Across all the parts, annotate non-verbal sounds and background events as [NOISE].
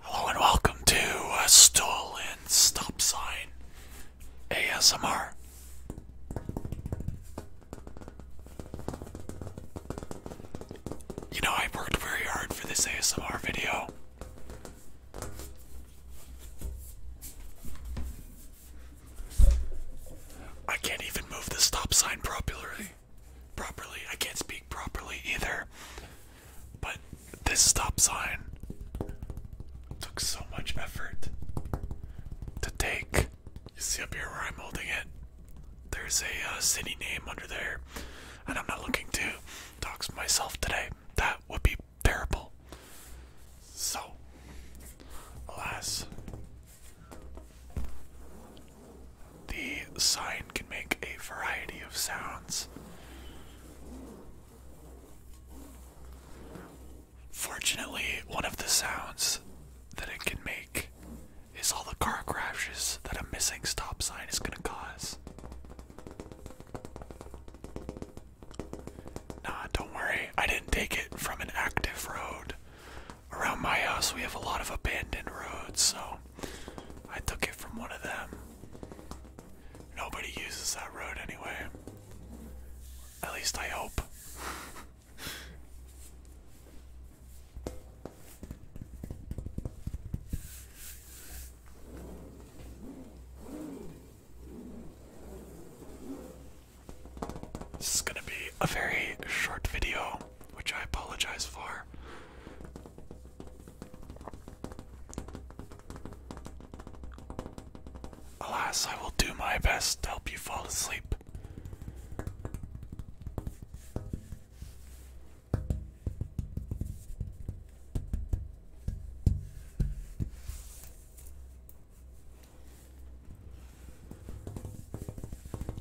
Hello and welcome to a stolen stop sign ASMR. You know, I worked very hard for this ASMR video. I can't even move the stop sign properly. Properly, I can't speak properly either. But this stop sign took so much effort to take. You see up here where I'm holding it? There's a uh, city name under there, and I'm not looking to talk to myself today. That would be terrible. So, alas, the sign can make a variety of sounds. Fortunately, one of the sounds that it can make is all the car crashes that a missing stop sign is going to cause. Nah, don't worry, I didn't take it from an active road. Around my house, we have a lot of abandoned roads, so I took it from one of them. Nobody uses that road anyway. At least I hope. [LAUGHS] This is going to be a very short video which I apologize for. Alas, I will do my best to help you fall asleep.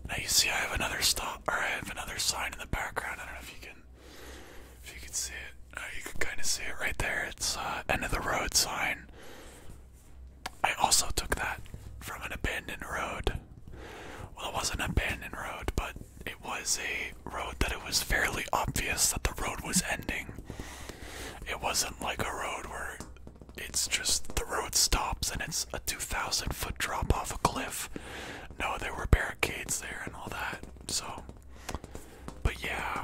Now you see I have another stop or I have another sign in the background. I don't know if you can, if you can see it. Uh, you can kind of see it right there. It's uh, end of the road sign. I also took that from an abandoned road. Well, it wasn't an abandoned road, but it was a road that it was fairly obvious that the road was ending. It wasn't like a road where it's just the road stops and it's a 2,000 foot drop off a cliff. No, there were barricades there and all that. So, but yeah.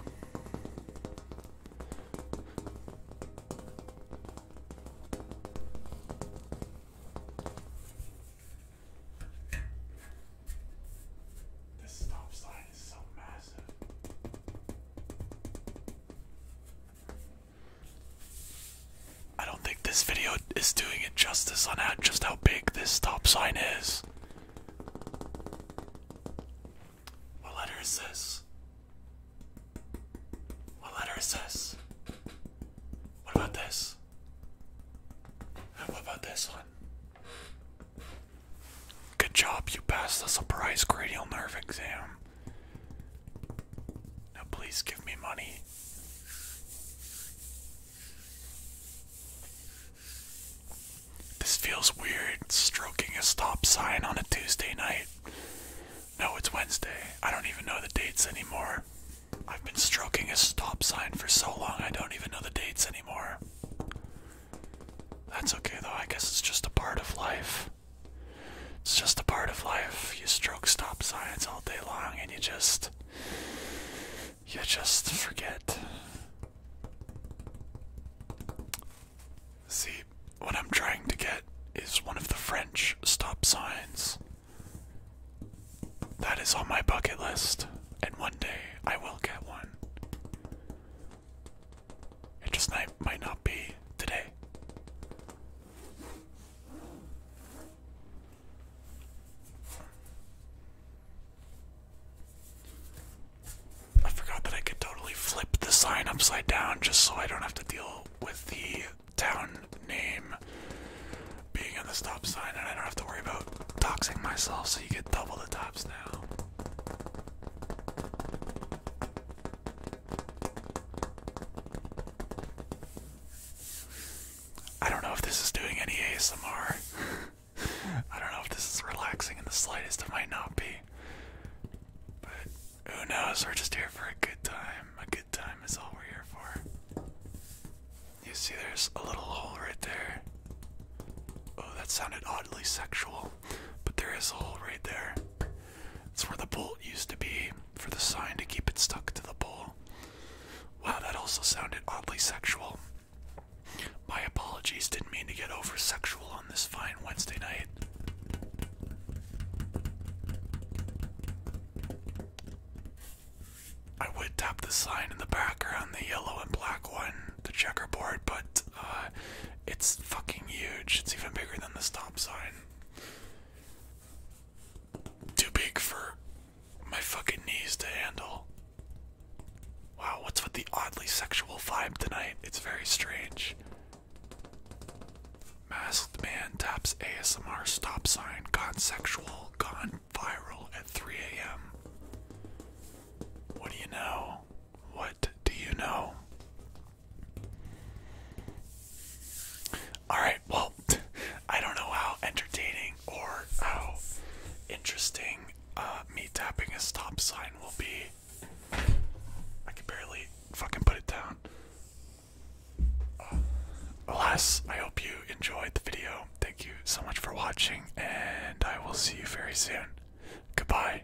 This stop sign is so massive. I don't think this video is doing it justice on how, just how big this stop sign is. What letter is this? What letter is this? What about this? And what about this one? Good job, you passed the surprise cranial nerve exam. Now please give me money. This feels weird stroking a stop sign on a Tuesday night. No, it's Wednesday. I don't even know the dates anymore. I've been stroking a stop sign for so long, I don't even know the dates anymore. That's okay though, I guess it's just a part of life. It's just a part of life. You stroke stop signs all day long and you just. You just forget. See, what I'm trying to get is one of the French stop signs. That is on my bucket list, and one day I will get one. It just might not be today. I forgot that I could totally flip the sign upside down just so I don't have to deal with the town name being on the stop sign and I don't have to worry about toxing myself so you get double the tops now. I don't know if this is doing any ASMR. [LAUGHS] I don't know if this is relaxing in the slightest. It might not be. But who knows? We're just here for a good time. A good time is all we're here for. You see, there's a little hole right there. Oh, that sounded oddly sexual. But there is a hole right there. It's where the bolt used to be for the sign to keep it stuck to the pole. Wow, that also sounded oddly sexual. My apologies, didn't mean to get over sexual on this fine Wednesday night. I would tap the sign in the background, the yellow and black one, the checkerboard, but uh, it's fucking huge. It's even bigger than the stop sign. Too big for my fucking knees to handle. Wow, what's with the oddly sexual vibe tonight? It's very strange. Masked man taps ASMR stop sign, gone sexual, gone viral at 3 a.m. What do you know? What do you know? Alright, well, [LAUGHS] I don't know how entertaining or how interesting uh, me tapping a stop sign will be. I can barely fucking put it down. Uh, alas, I hope you enjoyed the video. Thank you so much for watching, and I will see you very soon. Goodbye.